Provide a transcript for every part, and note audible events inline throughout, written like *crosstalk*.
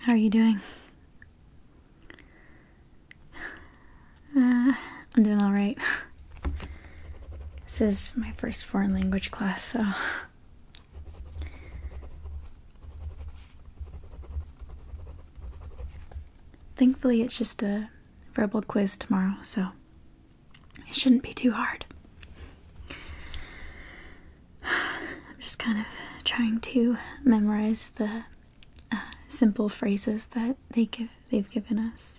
How are you doing? Uh, I'm doing all right. This is my first foreign language class, so. Thankfully, it's just a verbal quiz tomorrow, so it shouldn't be too hard. *sighs* I'm just kind of trying to memorize the uh, simple phrases that they give they've given us.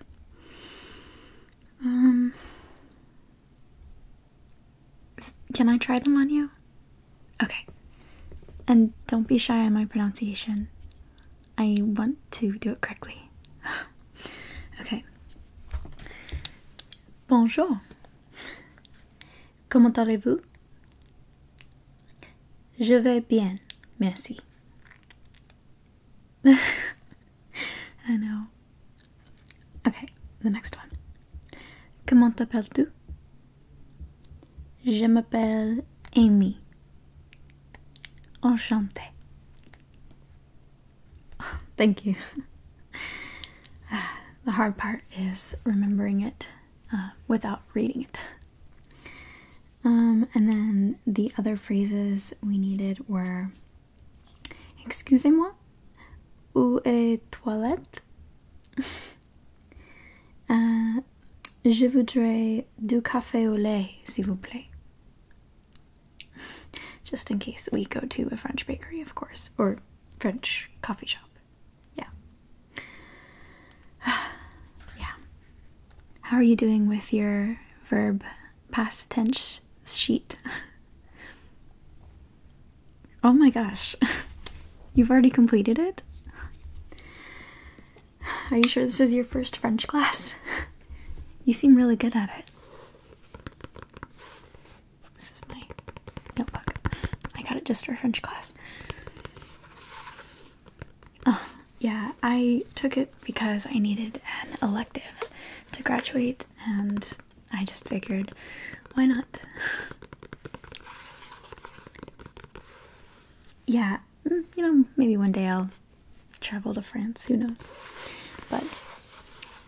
Um, can I try them on you? Okay. And don't be shy on my pronunciation. I want to do it correctly. *laughs* okay. Bonjour. Comment allez-vous? Je vais bien, merci. *laughs* I know. Okay, the next one. Comment t'appelles-tu? Je m'appelle Amy. enchanté. *laughs* thank you. *laughs* the hard part is remembering it uh, without reading it. Um, and then the other phrases we needed were Excusez-moi, où est toilette? *laughs* Euh, je voudrais du café au lait, s'il vous plaît. Just in case we go to a French bakery, of course, or French coffee shop. Yeah. *sighs* yeah. How are you doing with your verb past tense sheet? *laughs* oh my gosh. *laughs* You've already completed it? Are you sure this is your first French class? *laughs* You seem really good at it. This is my notebook. I got it just for French class. Oh, yeah, I took it because I needed an elective to graduate, and I just figured why not? *laughs* yeah, Mm, you know, maybe one day I'll travel to France, who knows. But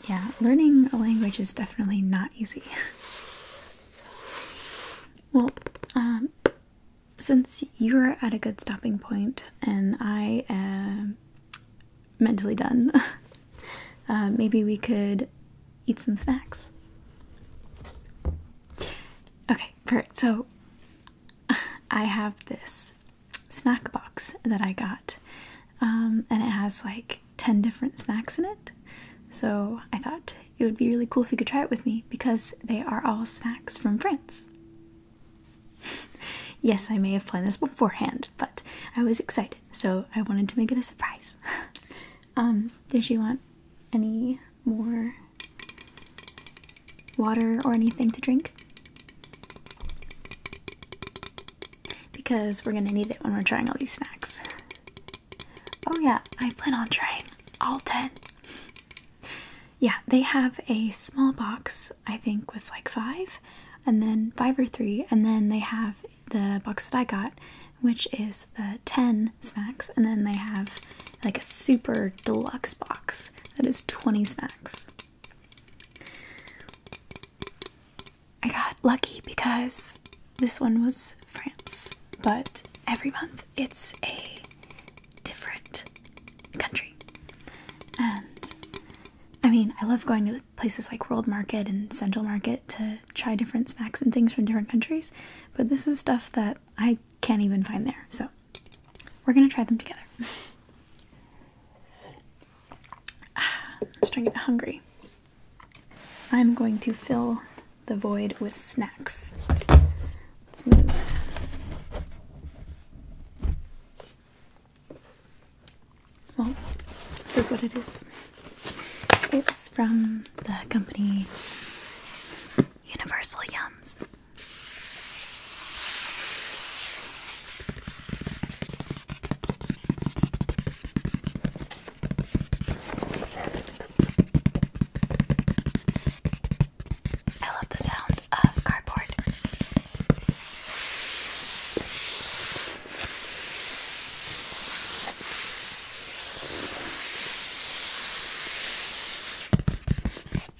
yeah, learning a language is definitely not easy. *laughs* well, um, since you're at a good stopping point and I am mentally done, *laughs* uh, maybe we could eat some snacks. Okay, perfect. So *laughs* I have this snack box that I got, um, and it has like 10 different snacks in it. So I thought it would be really cool if you could try it with me because they are all snacks from France. *laughs* yes, I may have planned this beforehand, but I was excited, so I wanted to make it a surprise. *laughs* um, did you want any more water or anything to drink because we're gonna need it when we're trying all these snacks. Oh, yeah, I plan on trying all 10. Yeah, they have a small box, I think, with like five, and then five or three, and then they have the box that I got, which is the 10 snacks, and then they have like a super deluxe box that is 20 snacks. I got lucky because this one was France, but every month it's a different country. And I mean, I love going to places like World Market and Central Market to try different snacks and things from different countries, but this is stuff that I can't even find there. So we're gonna try them together. I'm *sighs* starting to get hungry. I'm going to fill the void with snacks. Let's move. Well, this is what it is. It's from the company Universal Yums. I love the sound of cardboard.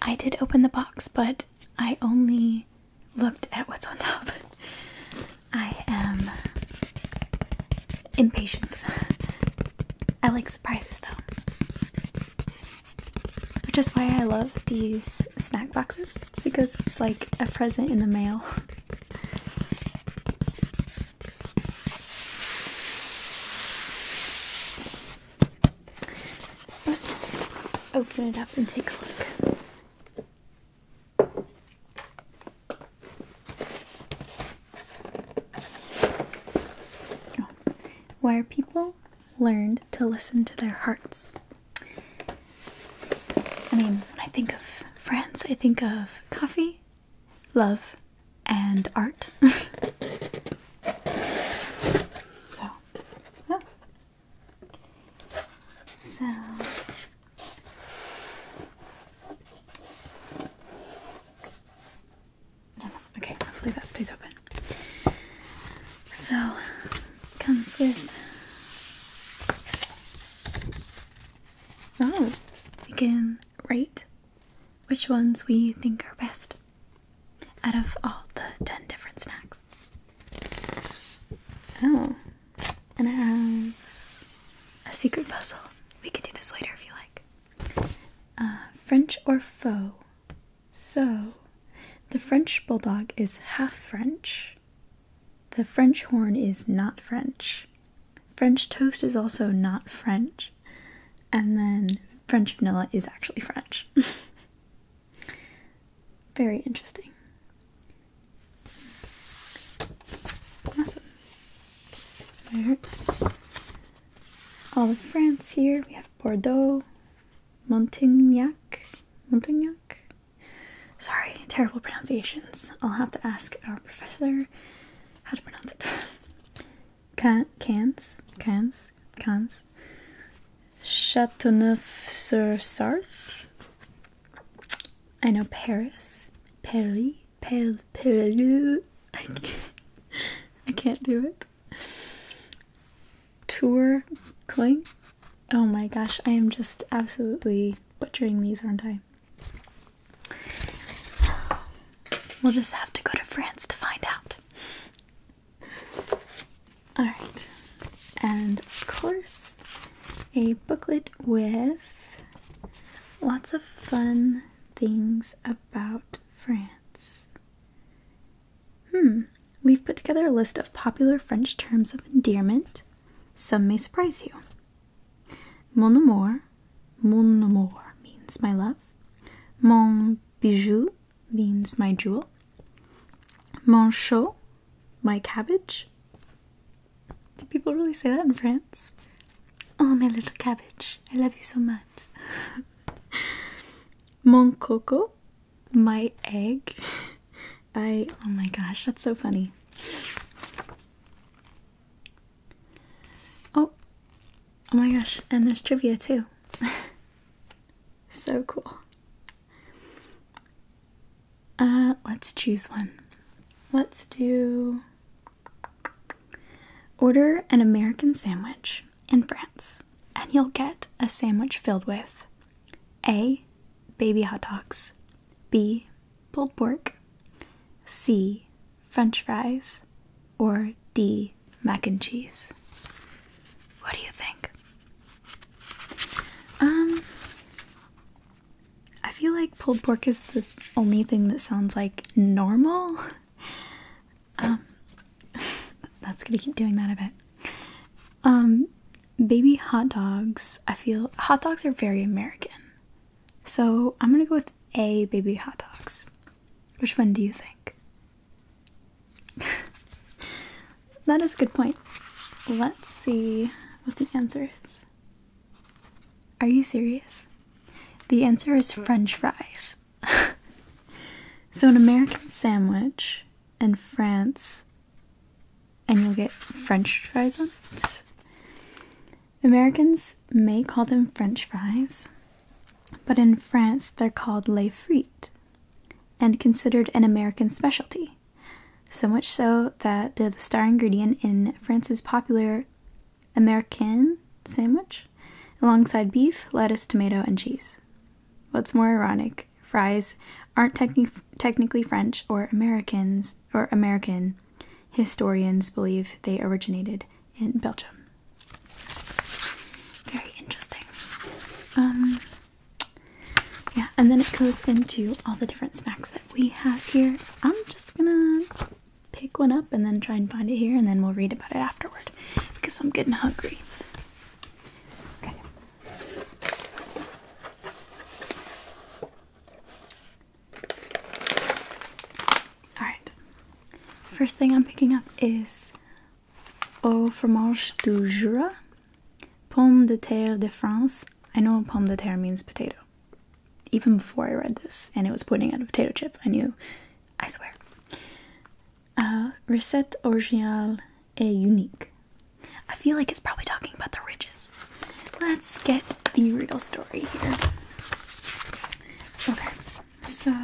I did open the box, but I only looked at what's on top. I am impatient. I like surprises though. Which is why I love these snack boxes. It's because it's like a present in the mail. Let's open it up and take a look. Oh. Where people learned to listen to their hearts. I mean, when I think of France, I think of coffee, love, and art. *laughs* so, oh. so okay, hopefully that stays open. So, comes with. Oh, we can rate which ones we think are best out of all the 10 different snacks. Oh, and it has a secret puzzle. We can do this later if you like. Uh, French or faux? So, the French bulldog is half French. The French horn is not French. French toast is also not French and then French vanilla is actually French. *laughs* Very interesting. Awesome. There's all of France here. We have Bordeaux, Montignac, Montignac. Sorry, terrible pronunciations. I'll have to ask our professor how to pronounce it. *laughs* Can, not cans, cans, cans. Châteauneuf-sur-Sarthe. I know Paris. Paris. Paris. Paris. *laughs* I can't, do it. Tour Oh my gosh, I am just absolutely butchering these, aren't I? We'll just have to go to France to find out. Alright, and of course, a booklet with lots of fun things about France. Hmm, we've put together a list of popular French terms of endearment. Some may surprise you. Mon amour, mon amour means my love. Mon bijou means my jewel. Mon chou, my cabbage. Do people really say that in France? Oh, my little cabbage, I love you so much. *laughs* Mon coco, my egg. *laughs* I, oh my gosh, that's so funny. Oh, oh my gosh, and there's trivia too. *laughs* So cool. Uh, let's choose one. Let's do order an American sandwich in France, and you'll get a sandwich filled with A. Baby hot dogs, B. Pulled pork, C. French fries, or D, mac and cheese? What do you think? Um, I feel like pulled pork is the only thing that sounds like normal. *laughs* Um, *laughs* that's gonna keep doing that a bit. Um, baby hot dogs, I feel hot dogs are very American. So I'm gonna go with A, baby hot dogs. Which one do you think? *laughs* that is a good point. Let's see what the answer is. Are you serious? The answer is French fries. *laughs* so, an American sandwich in France, and you'll get French fries on it. Americans may call them French fries, but in France they're called les frites and considered an American specialty. So much so that they're the star ingredient in France's popular American sandwich alongside beef, lettuce, tomato, and cheese. What's more ironic, fries aren't technically French or Americans or American. Historians believe they originated in Belgium. Very interesting. Um, yeah, and then it goes into all the different snacks that we have here. I'm just gonna pick one up and then try and find it here, and then we'll read about it afterward because I'm getting hungry. Alright. First thing I'm picking up is au fromage du Jura, pomme de terre de France. I know pomme de terre means potato. Even before I read this and it was pointing at a potato chip, I knew, I swear. Uh, recette originale et unique. I feel like it's probably talking about the ridges. Let's get the real story here. Okay. So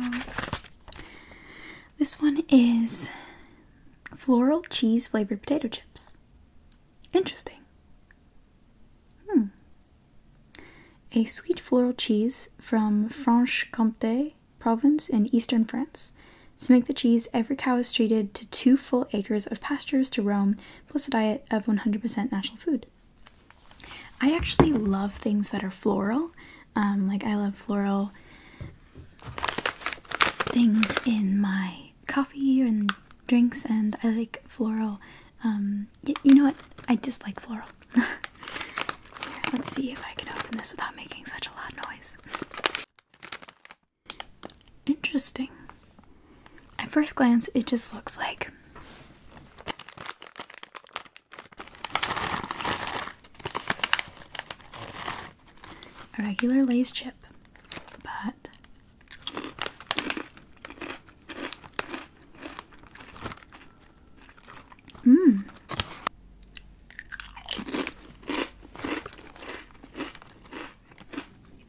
this one is floral cheese flavored potato chips. Interesting. Hmm. A sweet floral cheese from Franche-Comté province in eastern France. To make the cheese, every cow is treated to two full acres of pastures to roam, plus a diet of 100% natural food. I actually love things that are floral. Um, like I love floral things in my coffee and drinks, and I like floral. Um, you know what? I just like floral. *laughs* let's see if I can open this without making such a loud noise. Interesting. At first glance, it just looks like a regular Lay's chip, but mmm.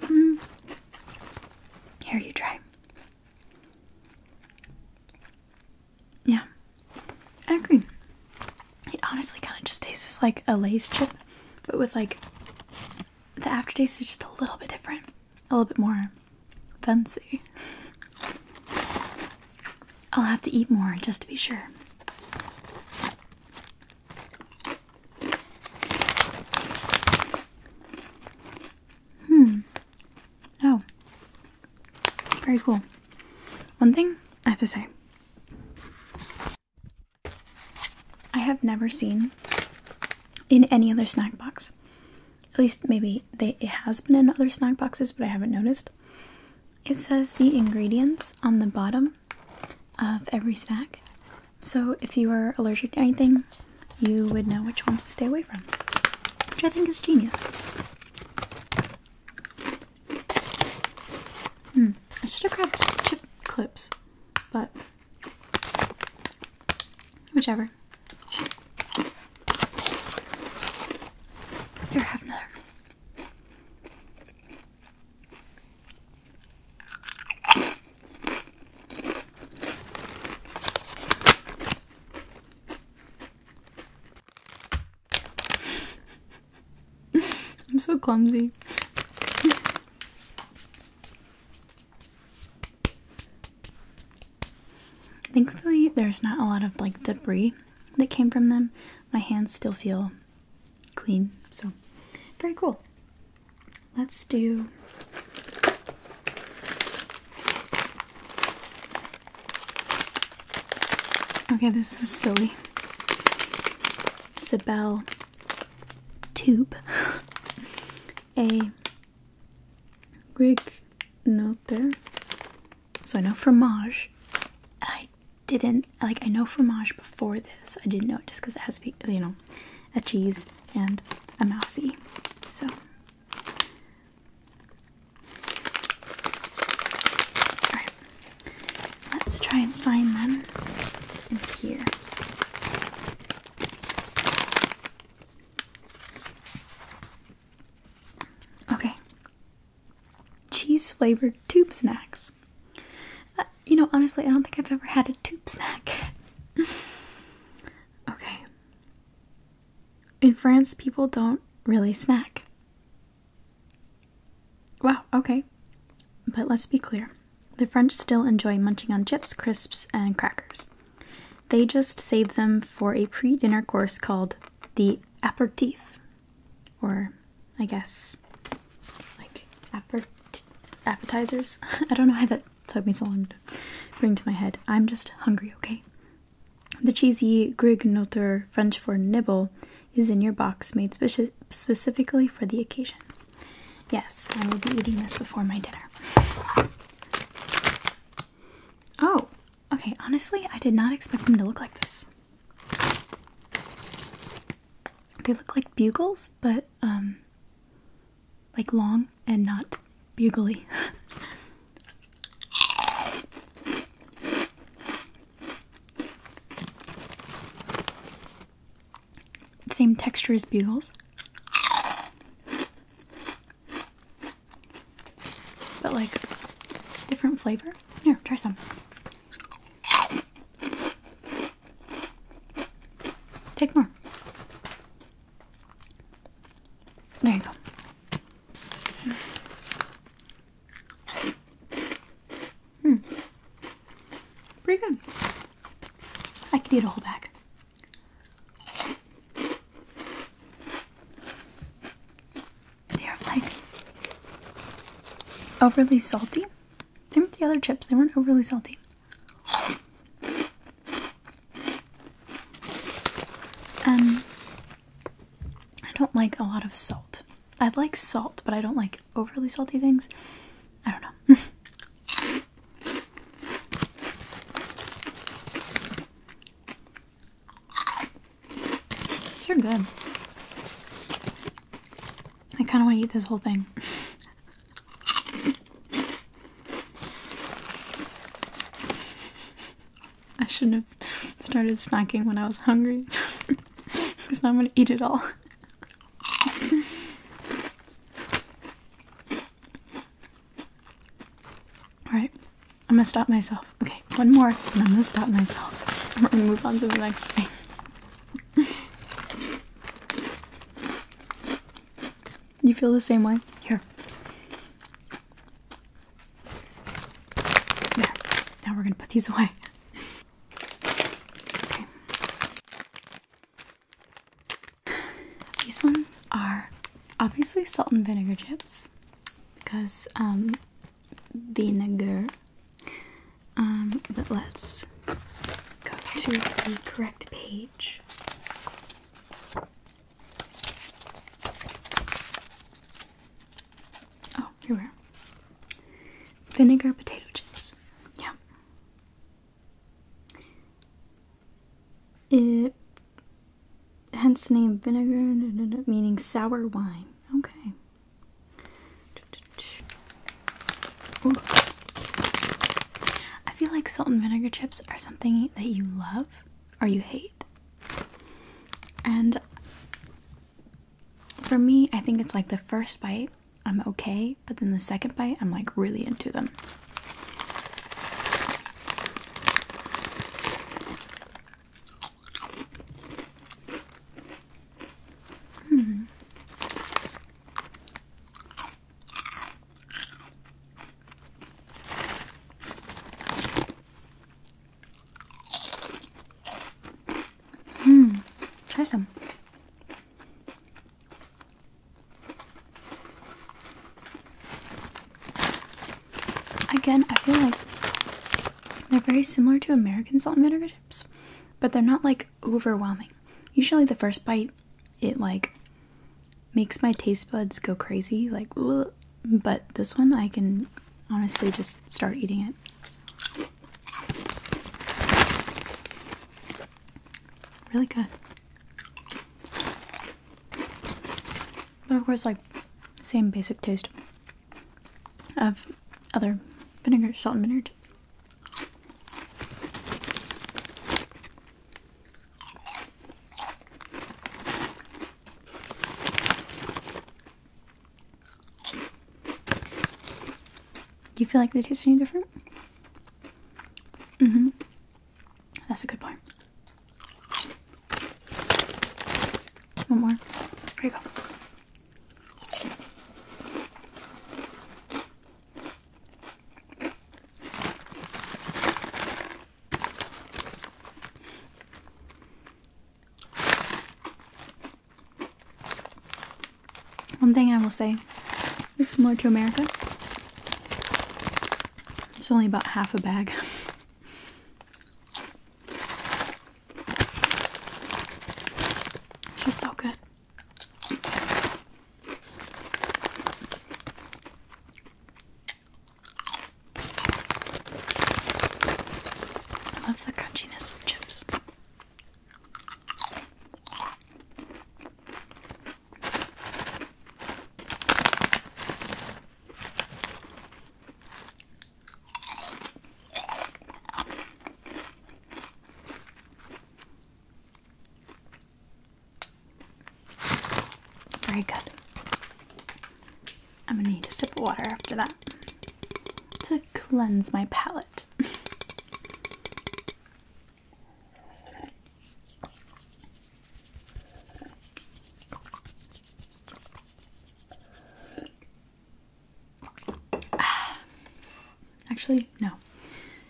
Mm. Here you try. Yeah, I agree. It honestly kind of just tastes like a Lay's chip, but with like the aftertaste is just a little bit different, a little bit more fancy. I'll have to eat more just to be sure. Hmm. Oh, very cool. One thing I have to say I have never seen in any other snack box. At least maybe it has been in other snack boxes, but I haven't noticed. It says the ingredients on the bottom of every snack. So if you are allergic to anything, you would know which ones to stay away from, which I think is genius. Hmm. I should have grabbed chip clips, but whichever. Here, have another. *laughs* I'm so clumsy. Thankfully, there's not a lot of like debris that came from them. My hands still feel clean, so very cool. Let's do Okay, this is silly. Sibel tube. *laughs* A Greek note there. So I know fromage. and I didn't like I know fromage before this. I didn't know it just because it has to be you know a cheese and a mousy. So Let's try and find them in here. Okay. Cheese flavored tube snacks. Uh, you know, honestly, I don't think I've ever had a tube snack. *laughs* okay. In France, people don't really snack. Wow, okay. But let's be clear the French still enjoy munching on chips, crisps, and crackers. They just save them for a pre dinner course called the aperitif, or I guess like appetizers. *laughs* I don't know why that took me so long to bring to my head. I'm just hungry, okay? The cheesy Grig French for nibble, is in your box made speci specifically for the occasion. Yes, I will be eating this before my dinner. Oh, okay, honestly, I did not expect them to look like this. They look like bugles, but um like long and not bugly. *laughs* Same texture as bugles. But like different flavor. Here, try some. Take more. There you go. Hmm. Pretty good. I could eat a whole bag. They are like overly salty. Same with the other chips, they weren't overly salty. Um, I don't like a lot of salt. I like salt, but I don't like overly salty things. I don't know. *laughs* They're good. I kind of want to eat this whole thing. *laughs* I shouldn't have started snacking when I was hungry. *laughs* Because now I'm gonna eat it all. Alright, I'm gonna stop myself. Okay, one more, and I'm gonna stop myself. And we're gonna move on to the next thing. You feel the same way? Here. There. Now we're gonna put these away. These ones are obviously salt and vinegar chips because um vinegar. Um, but let's go to the correct page. Oh, here we are. Vinegar potato chips. Yeah. It hence the name vinegar meaning sour wine. Okay. I feel like salt and vinegar chips are something that you love or you hate. And for me, I think it's like the first bite, I'm okay, but then the second bite, I'm like really into them. Hmm. Hmm, try some. Again, I feel like they're very similar to American salt and vinegar chips, but they're not like overwhelming. Usually, the first bite, it like makes my taste buds go crazy, like, but this one I can honestly just start eating it. Really good. But of course, like, same basic taste of other vinegar, salt and vinegar do you feel like they taste any different? hmm. That's a good point. One more. Here you go. One thing I will say this is more to America. It's only about half a bag. It's just so good. I love the crunchiness of chips. Very good. I'm gonna need a sip of water after that to cleanse my palate. *sighs* Actually, no.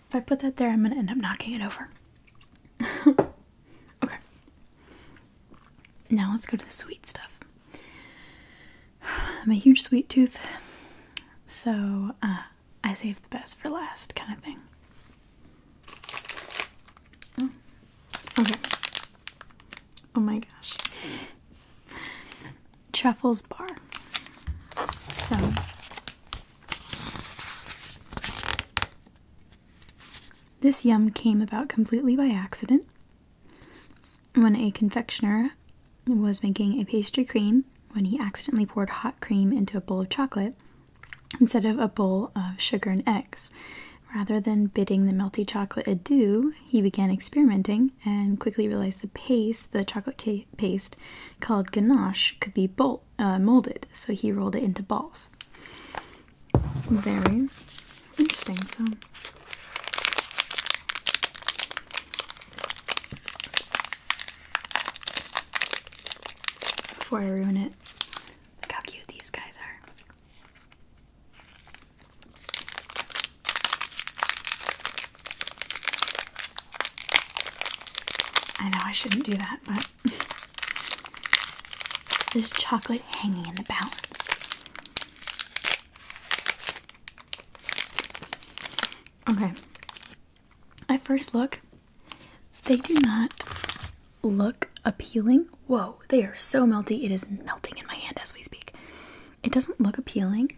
If I put that there, I'm going to end up knocking it over. *laughs* okay. Now let's go to the sweet stuff. I'm a huge sweet tooth, so uh, I save the best for last, kind of thing. Oh, okay. Oh my gosh. Truffles Bar. So. This yum came about completely by accident when a confectioner was making a pastry cream when he accidentally poured hot cream into a bowl of chocolate instead of a bowl of sugar and eggs. Rather than bidding the melty chocolate adieu, he began experimenting and quickly realized the paste, the chocolate paste called ganache, could be uh, molded, so he rolled it into balls. Very interesting. So, before I ruin it, look how cute these guys are. I know I shouldn't do that, but *laughs* there's chocolate hanging in the balance. Okay. I first look, they do not look appealing. Whoa, they are so melty. It is melting in my hand as we speak. It doesn't look appealing.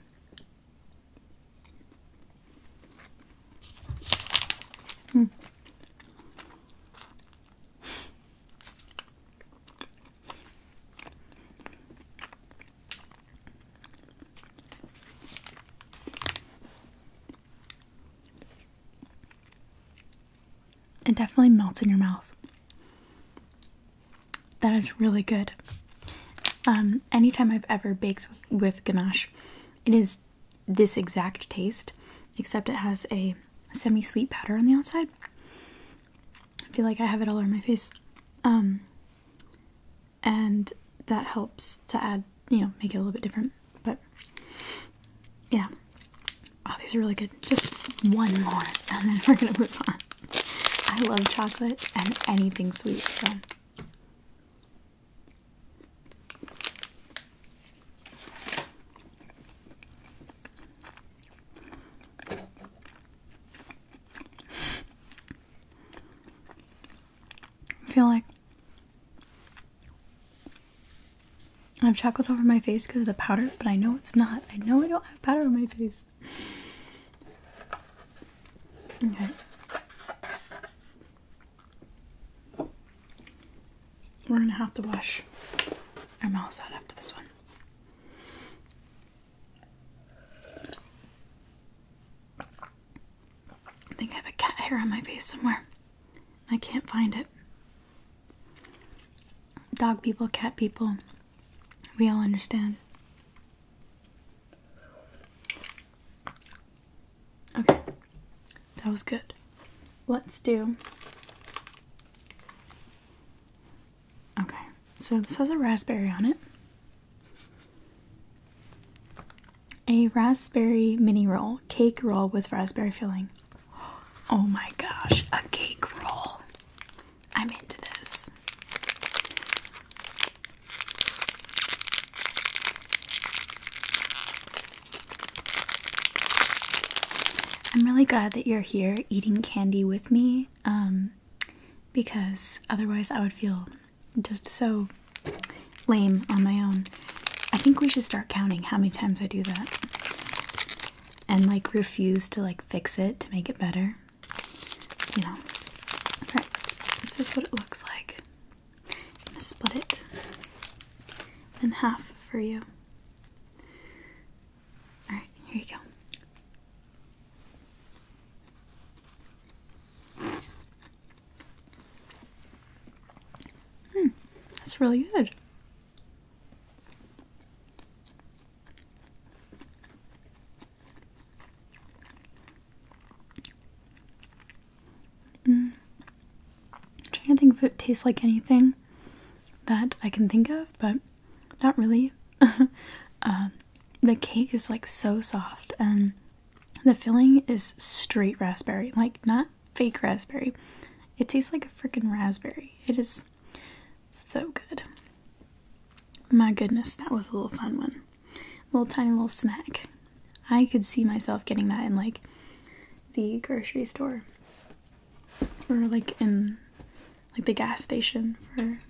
Hmm. It definitely melts in your mouth. That is really good. Um, anytime I've ever baked with ganache, it is this exact taste, except it has a semi sweet powder on the outside. feel like I have it all over my face. Um, and that helps to add, you know, make it a little bit different. But yeah, oh, these are really good. Just one more, and then *laughs* we're gonna move on. I love chocolate and anything sweet, so. I feel like I have chocolate over my face because of the powder, but I know it's not. I know I don't have powder on my face. Okay. We're gonna have to wash our mouths out after this one. I think I have a cat hair on my face somewhere. I can't find it. Dog people, cat people, we all understand. Okay, that was good. Let's do. Okay, so this has a raspberry on it. A raspberry mini roll, cake roll with raspberry filling. Oh my gosh, a cake roll. I'm into this. I'm really glad that you're here eating candy with me um, because otherwise I would feel just so lame on my own. I think we should start counting how many times I do that and like refuse to like fix it to make it better. You know. Alright, this is what it looks like. split it in half for you. Alright, here you go. Hmm, that's really good. Mm. I'm trying to think if it tastes like anything that I can think of, but not really. *laughs* Uh, the cake is like so soft and the filling is straight raspberry, like not fake raspberry. It tastes like a freaking raspberry. It is so good. My goodness, that was a little fun one. little tiny little snack. I could see myself getting that in like the grocery store or like in like the gas station for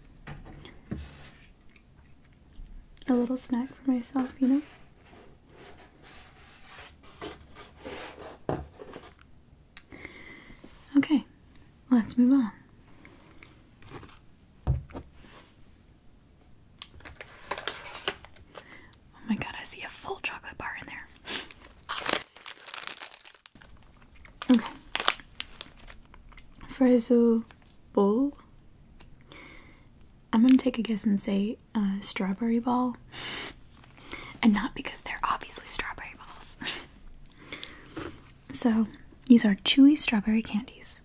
a little snack for myself, you know? Okay, let's move on. Oh my god, I see a full chocolate bar in there. Okay. Freizu bowl. I'm gonna take a guess and say uh, strawberry ball, and not because they're obviously strawberry balls. *laughs* so these are chewy strawberry candies.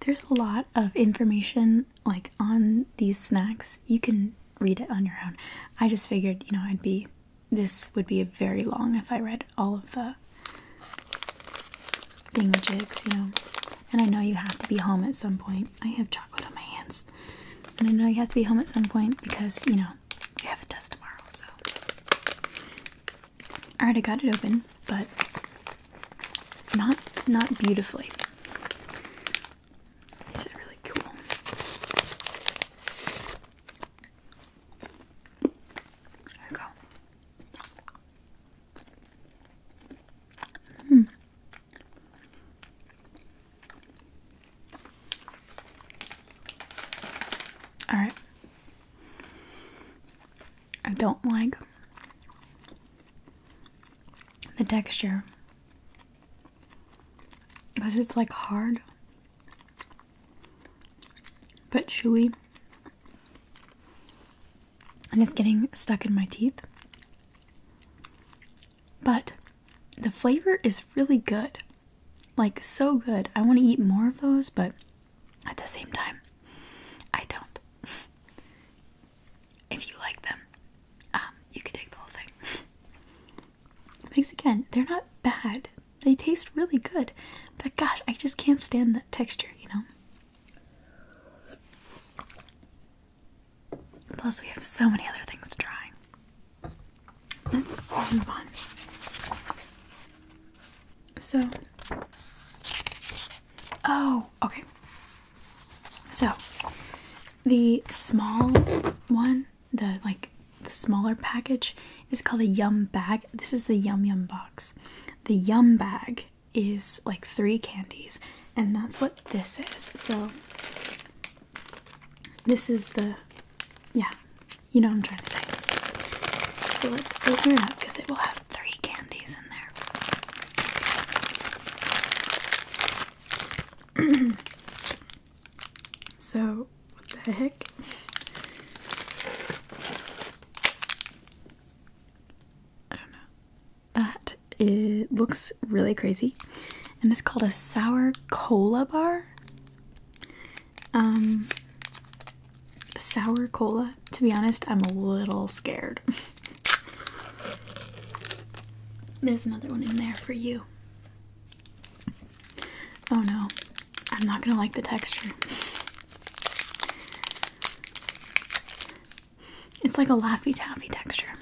There's a lot of information like on these snacks. You can read it on your own. I just figured, you know, I'd be this would be very long if I read all of the being the jigs, you know. And I know you have to be home at some point. I have chocolate on my hands. And I know you have to be home at some point because, you know, you have a test tomorrow, so. Alright, I got it open, but not not beautifully. These are really cool. There we go. Hmm. All right. I don't like the texture because it's like hard but chewy and it's getting stuck in my teeth. But the flavor is really good. Like, so good. I want to eat more of those, but at the same time, I don't. *laughs* if you like them, um, you can take the whole thing. *laughs* because again, they're not bad. They taste really good, but gosh, I just can't stand that texture, you know? Plus, we have so many other things to try. Let's move on. So, oh, okay. So, the small one, the like the smaller package is called a yum bag. This is the yum yum box. The yum bag is like three candies, and that's what this is. So, this is the yeah, you know what I'm trying to say. So, let's open it up because it will have three candies in there. *clears throat* so, what the heck? I don't know. That it looks really crazy, and it's called a sour cola bar. Um, sour cola. To be honest, I'm a little scared. *laughs* There's another one in there for you. Oh no, I'm not gonna like the texture. It's like a Laffy Taffy texture.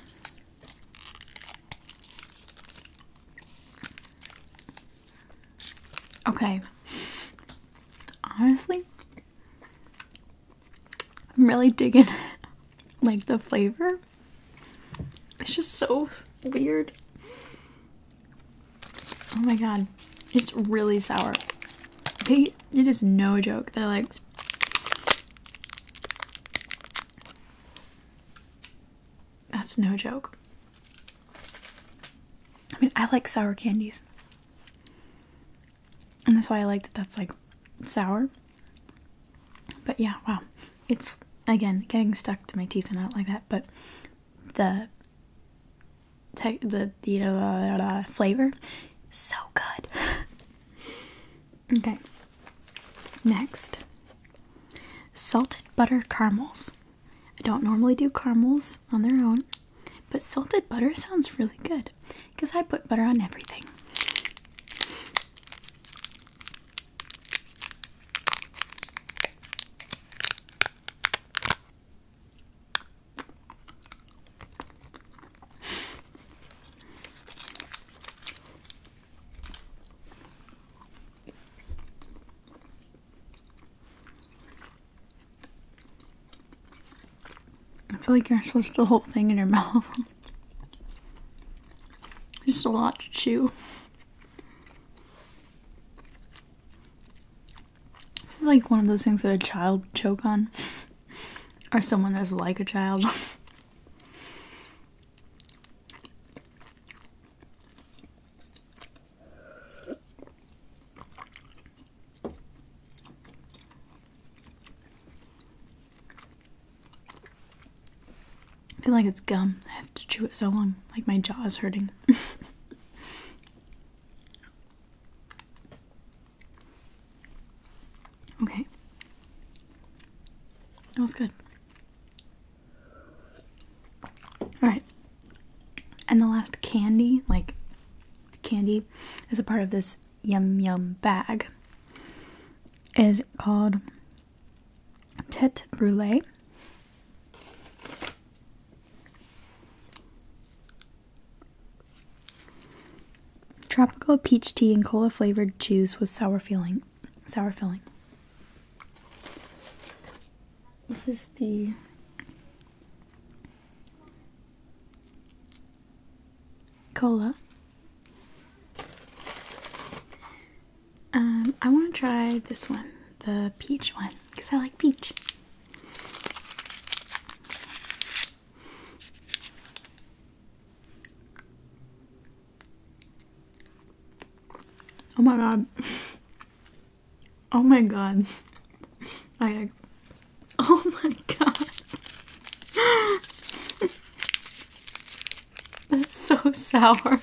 Okay. Honestly, I'm really digging *laughs* like the flavor. It's just so weird. Oh my god, it's really sour. it is no joke. They're like, that's no joke. I mean, I like sour candies, and that's why I like that that's like sour. But yeah, wow, it's again getting stuck to my teeth and out like that. But the te the the uh, uh, flavor. So good. *laughs* okay. Next, salted butter caramels. I don't normally do caramels on their own, but salted butter sounds really good because I put butter on everything. I feel like you're supposed to the thing in your *laughs* mouth. Just a lot to chew. This is like one of those things that a child would choke on, *laughs* or someone that's like a child. *laughs* I feel like it's gum. I have to chew it so long. Like my jaw is hurting. *laughs* Okay. That was good. Alright. And the last candy, like candy as a part of this yum yum bag, is called Tete Brulee. Tropical peach tea and cola flavored juice with sour filling. Sour filling. This is the cola. Um, I want to try this one, the peach one, because I like peach. Oh my god. Oh my god. I Oh my god. That's so sour.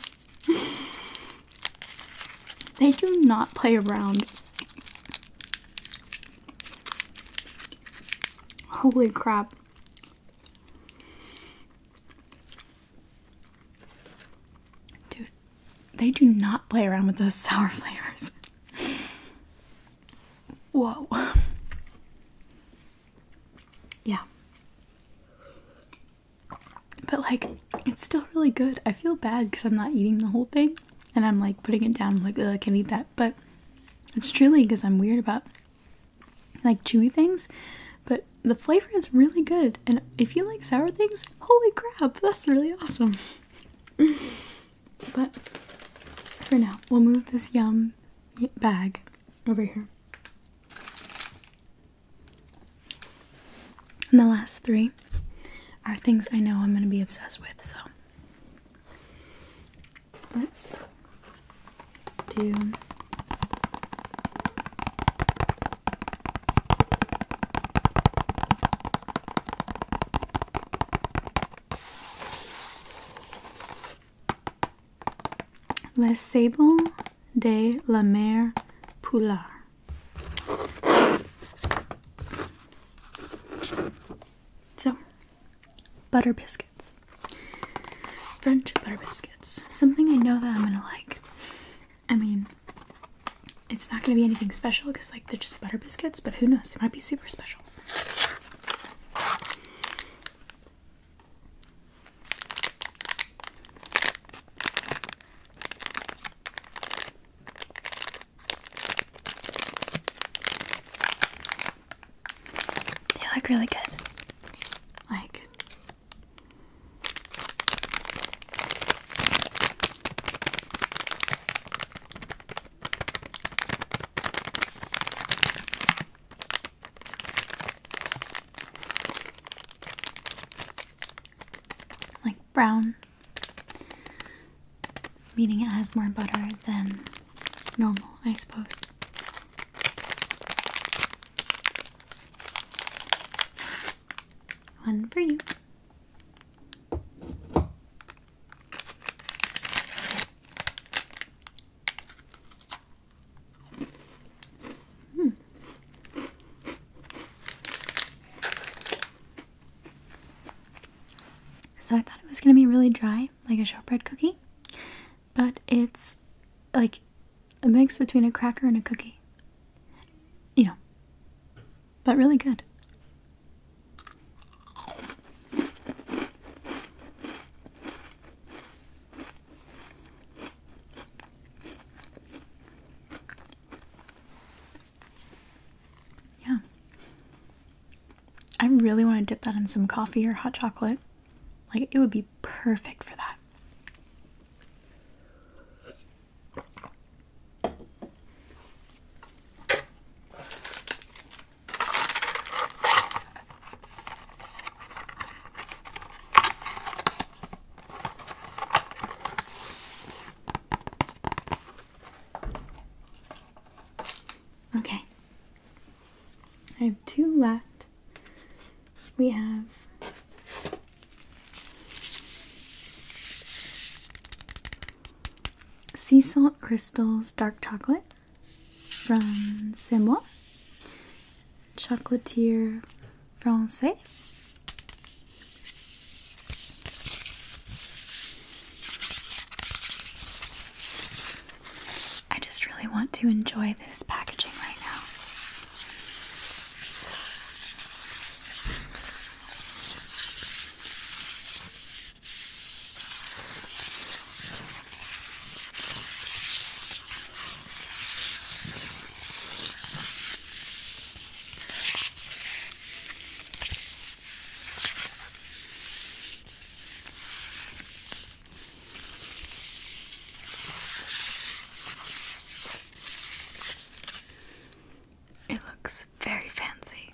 They do not play around. Holy crap. Dude, they do not play around with those *laughs* sour flavors. Whoa. Yeah. But like, it's still really good. I feel bad because I'm not eating the whole thing. And I'm like putting it down, I'm like, ugh, I can't eat that but it's truly because I'm weird about like chewy things. But the flavor is really good, and if you like sour things, holy crap, that's really awesome. but for now, we'll move this yum bag over here. And the last three are things I know I'm going to be obsessed with, so Let's do Les Sables de la Mer Poulard. So, butter biscuits. French butter biscuits. Something I know that I'm gonna like. I mean, it's not gonna be anything special because, like, they're just butter biscuits, but who knows? They might be super special. They look really good. Like like brown Meaning it has more butter than normal, I suppose. One for you. Hmm. So I thought it was going to be really dry, like a shortbread cookie, but it's like a mix between a cracker and a cookie. You know, but really good. Yeah. I really want to dip that in some coffee or hot chocolate. Like, it would be perfect for that. Okay. I have two left. We have Sea Salt Crystals Dark Chocolate from Simla, Chocolatier Francais, I just really want to enjoy this packaging right now. It looks very fancy.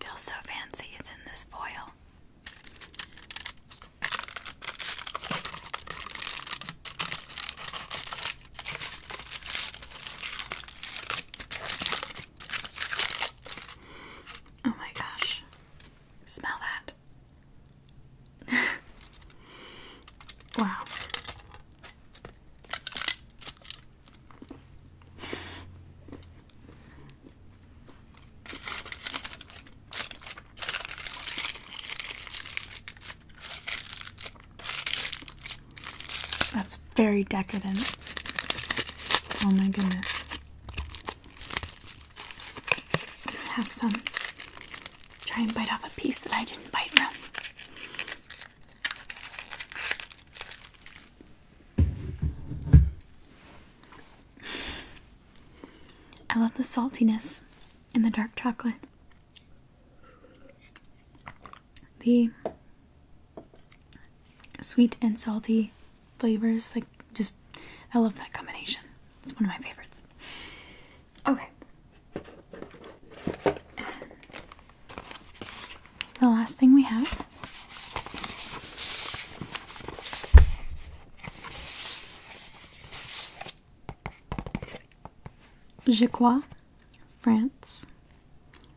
Feels so fancy, it's in this foil. Oh my gosh. Smell that. *laughs* wow. That's very decadent. Oh my goodness. Have some. Try and bite off a piece that I didn't bite from. I love the saltiness in the dark chocolate. The sweet and salty flavors. Like, just, I love that combination. It's one of my favorites. Okay. The last thing we have Jacquois, France,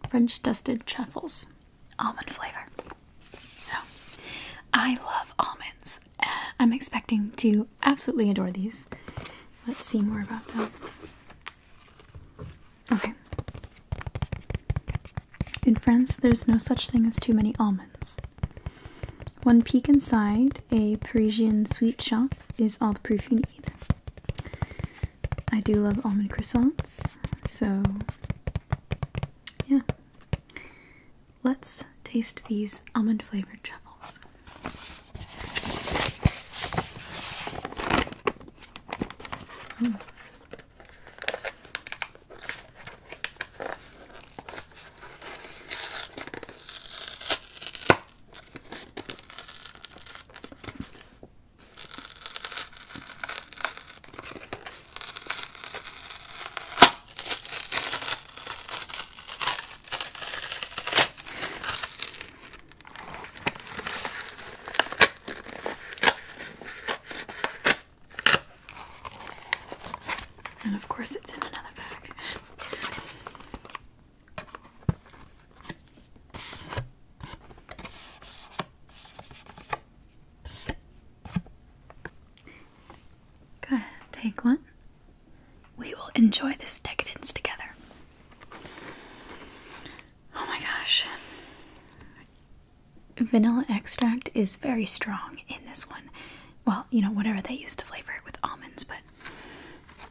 French dusted truffles almond flavor. So, I love almonds. Uh, I'm expecting to absolutely adore these. Let's see more about them. Okay. In France, there's no such thing as too many almonds. One peek inside a Parisian sweet shop is all the proof you need. I do love almond croissants, so yeah. Let's taste these almond flavored truffles. And of course, it's in another bag. Go ahead, take one. We will enjoy this decadence together. Oh my gosh. Vanilla extract is very strong in this one. Well, you know, whatever they used to flavor it with almonds, but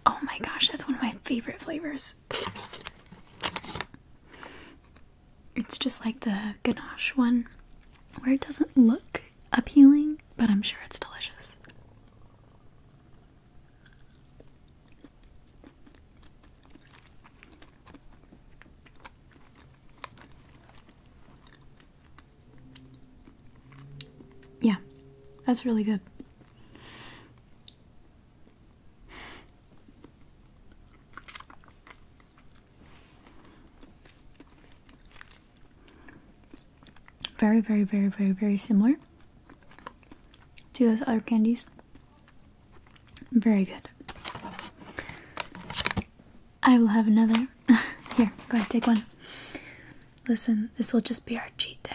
oh my gosh, that's one of my favorite flavors. It's just like the ganache one, where it doesn't look appealing, but I'm sure it's delicious. Yeah, that's really good. Very, very, very, very, very similar to those other candies. Very good. I will have another. *laughs* Here, go ahead, take one. Listen, this will just be our cheat day.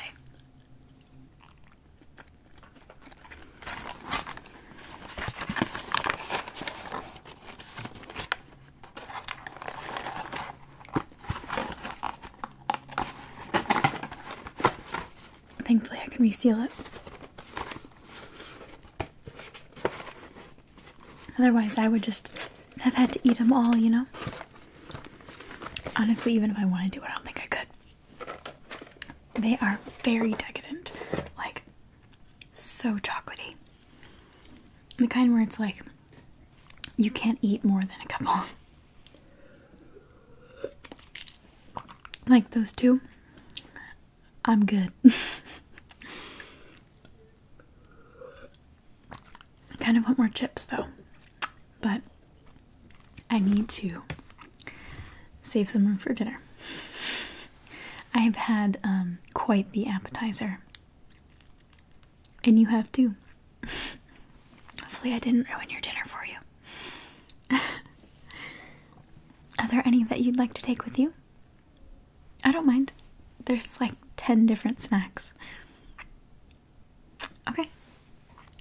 Thankfully, I can reseal it. Otherwise, I would just have had to eat them all, you know? Honestly, even if I wanted to, I don't think I could. They are very decadent. Like, so chocolatey. The kind where it's like you can't eat more than a couple. like those two, I'm good. I *laughs* kind of want more chips though, but I need to save some room for dinner. *laughs* I've had um, quite the appetizer. And you have too. *laughs* Hopefully, I didn't ruin your dinner for you. *laughs* Are there any that you'd like to take with you? I don't mind. There's like 10 different snacks. Okay.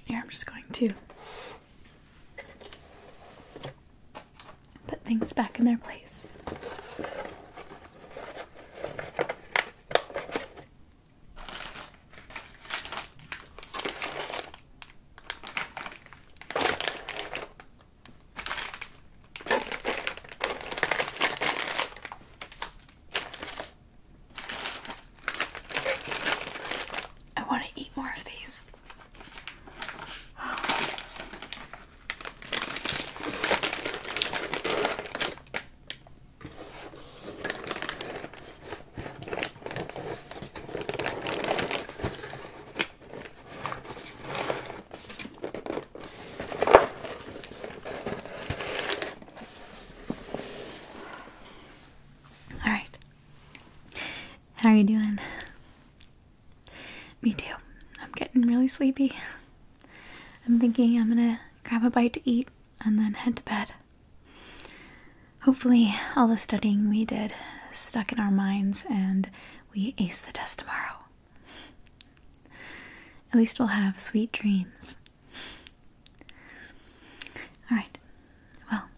Here, I'm just going to put things back in their place. I want to eat more of these. All right. How are you doing? Me too. I'm getting really sleepy. I'm thinking I'm gonna grab a bite to eat and then head to bed. Hopefully, all the studying we did stuck in our minds and we ace the test tomorrow. At least we'll have sweet dreams. Alright, well.